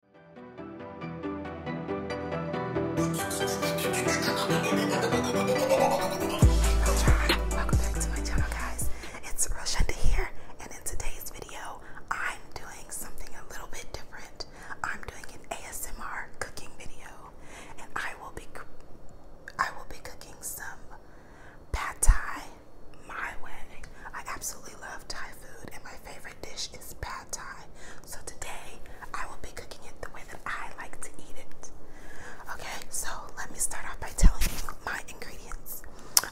Welcome back to my channel, guys. It's Roshenda here, and in today's video, I'm doing something a little bit different. I'm doing an ASMR cooking video, and I will be I will be cooking some pad thai my way. I absolutely love Thai food, and my favorite dish is pad so today I will be cooking it the way that I like to eat it. Okay, so let me start off by telling you my ingredients.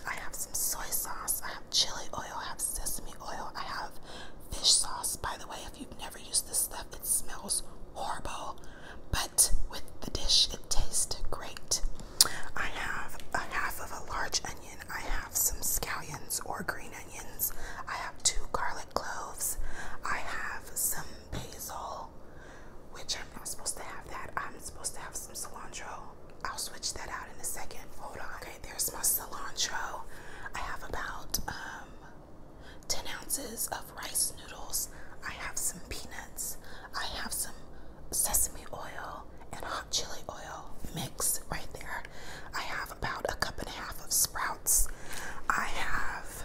I have some soy sauce, I have chili oil, I have sesame oil, I have fish sauce. By the way, if you've never used this stuff, it smells horrible, but with the dish, it tastes great. I have a half of a large onion. I have some scallions or green onions. I have two garlic cloves. I have some basil, which I'm not supposed to have that. I'm supposed to have some cilantro. I'll switch that out in a second. Hold on. Okay, there's my cilantro. I have about um, 10 ounces of rice noodles. I have some peanuts. I have some sesame oil and hot chili oil mix right there. I have about a cup and a half of sprouts. I have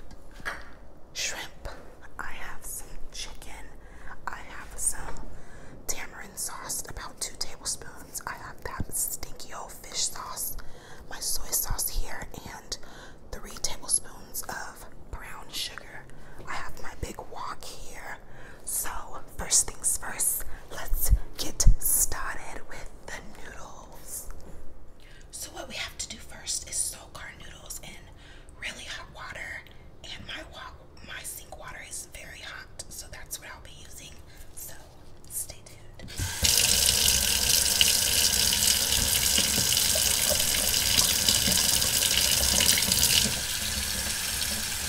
shrimp. I have some chicken. I have some tamarind sauce, about two tablespoons. I have that stinky old fish sauce, my soy sauce here, and three tablespoons of brown sugar. I have my big wok here. So, first things first, let's get started with the noodles. So, what we have to do first is soak our noodles in really hot water, and my my sink water is very hot, so that's what I'll be using. So, stay tuned.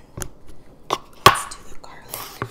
in. Let's do the garlic.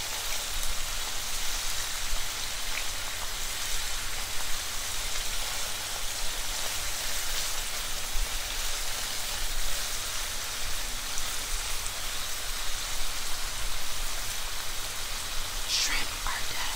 Shrimp are dead.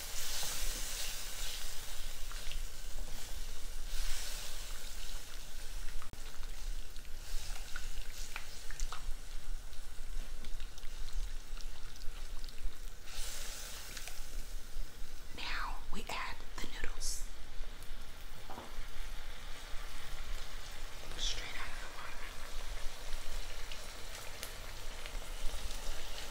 Now we add the noodles straight out of the water.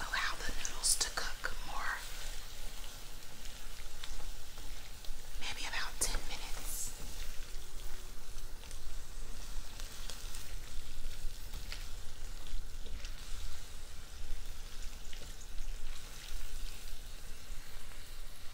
Allow the noodles to cook more, maybe about 10 minutes.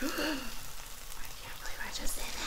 I can't believe I just did that.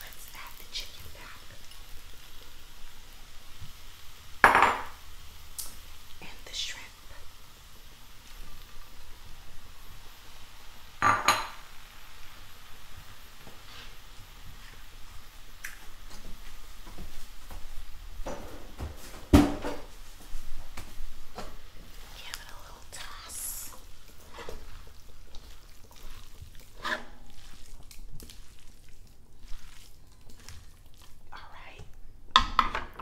Let's add the chicken back. And the shrimp. Give it a little toss. All right.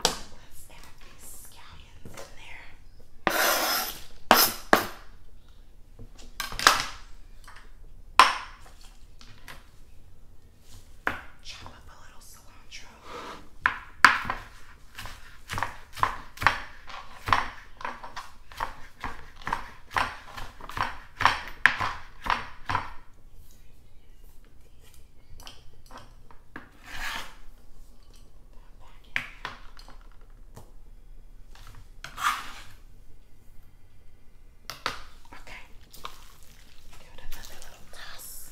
Let's add these scallions in there. Chop up a little cilantro. Okay. Give it another little toss.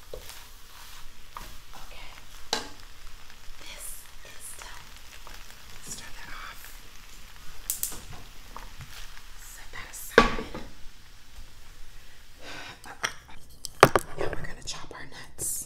Okay. This is done. let that off. Set that aside. Now we're going to chop our nuts.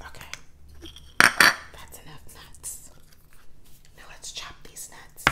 Okay. That's enough nuts. Now let's chop these nuts.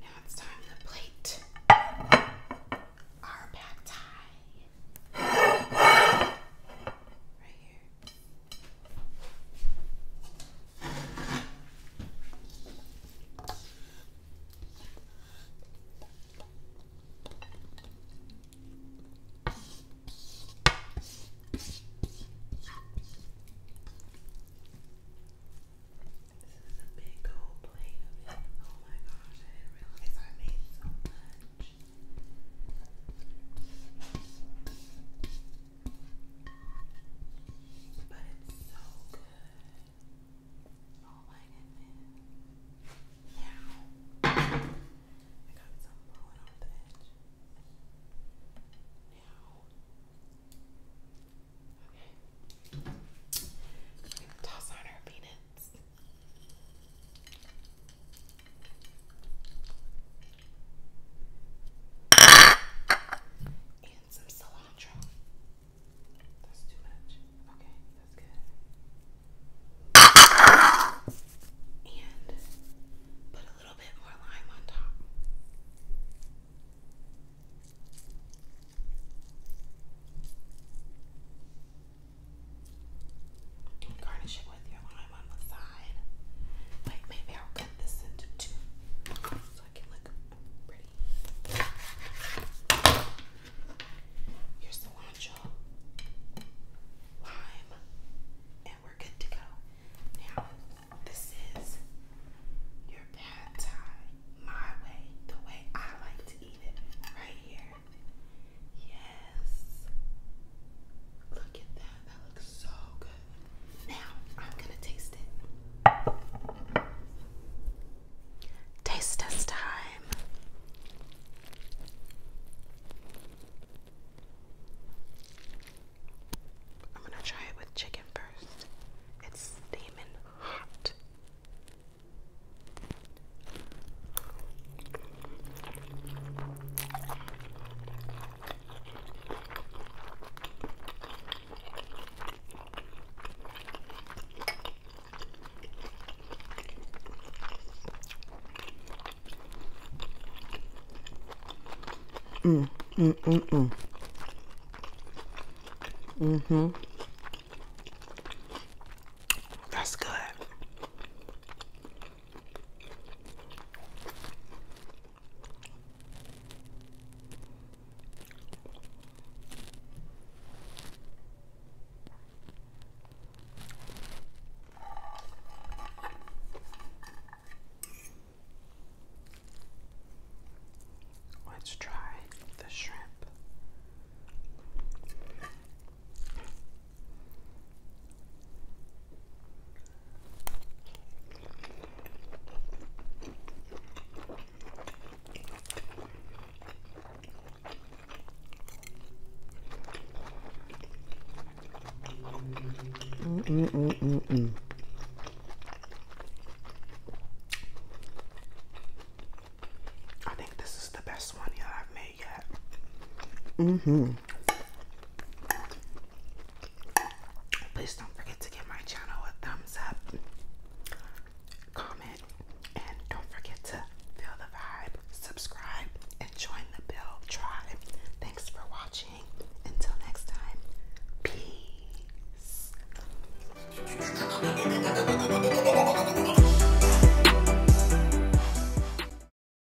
Now it's time to plate our pad thai. Right here big gold plate Oh my gosh, I didn't realize I made so much. But it's so good. Oh my goodness. Now, I got some blowing off the edge. Now, okay. gonna toss on our peanuts. And some cilantro. That's too much. Okay, that's good. And put a little bit more lime on top. And garnish it with your lime on the side. Like maybe I'll cut this into two so I can look pretty. Your cilantro, lime, and we're good to go. Now, this is your pad thai, my way, the way I like to eat it, right here. Yes. Look at that. That looks so good. Now I'm gonna taste it. Taste test time. I'm gonna try it with chicken first. It's steaming hot. Mm, mm, mm, mm. hmm That's good. Let's try the shrimp mm mm mm mm I think this is the best one yet I've made. Mm-hmm. Please don't forget to give my channel a thumbs up, comment, and don't forget to feel the vibe, subscribe, and join the Build Tribe. Thanks for watching. Until next time, peace.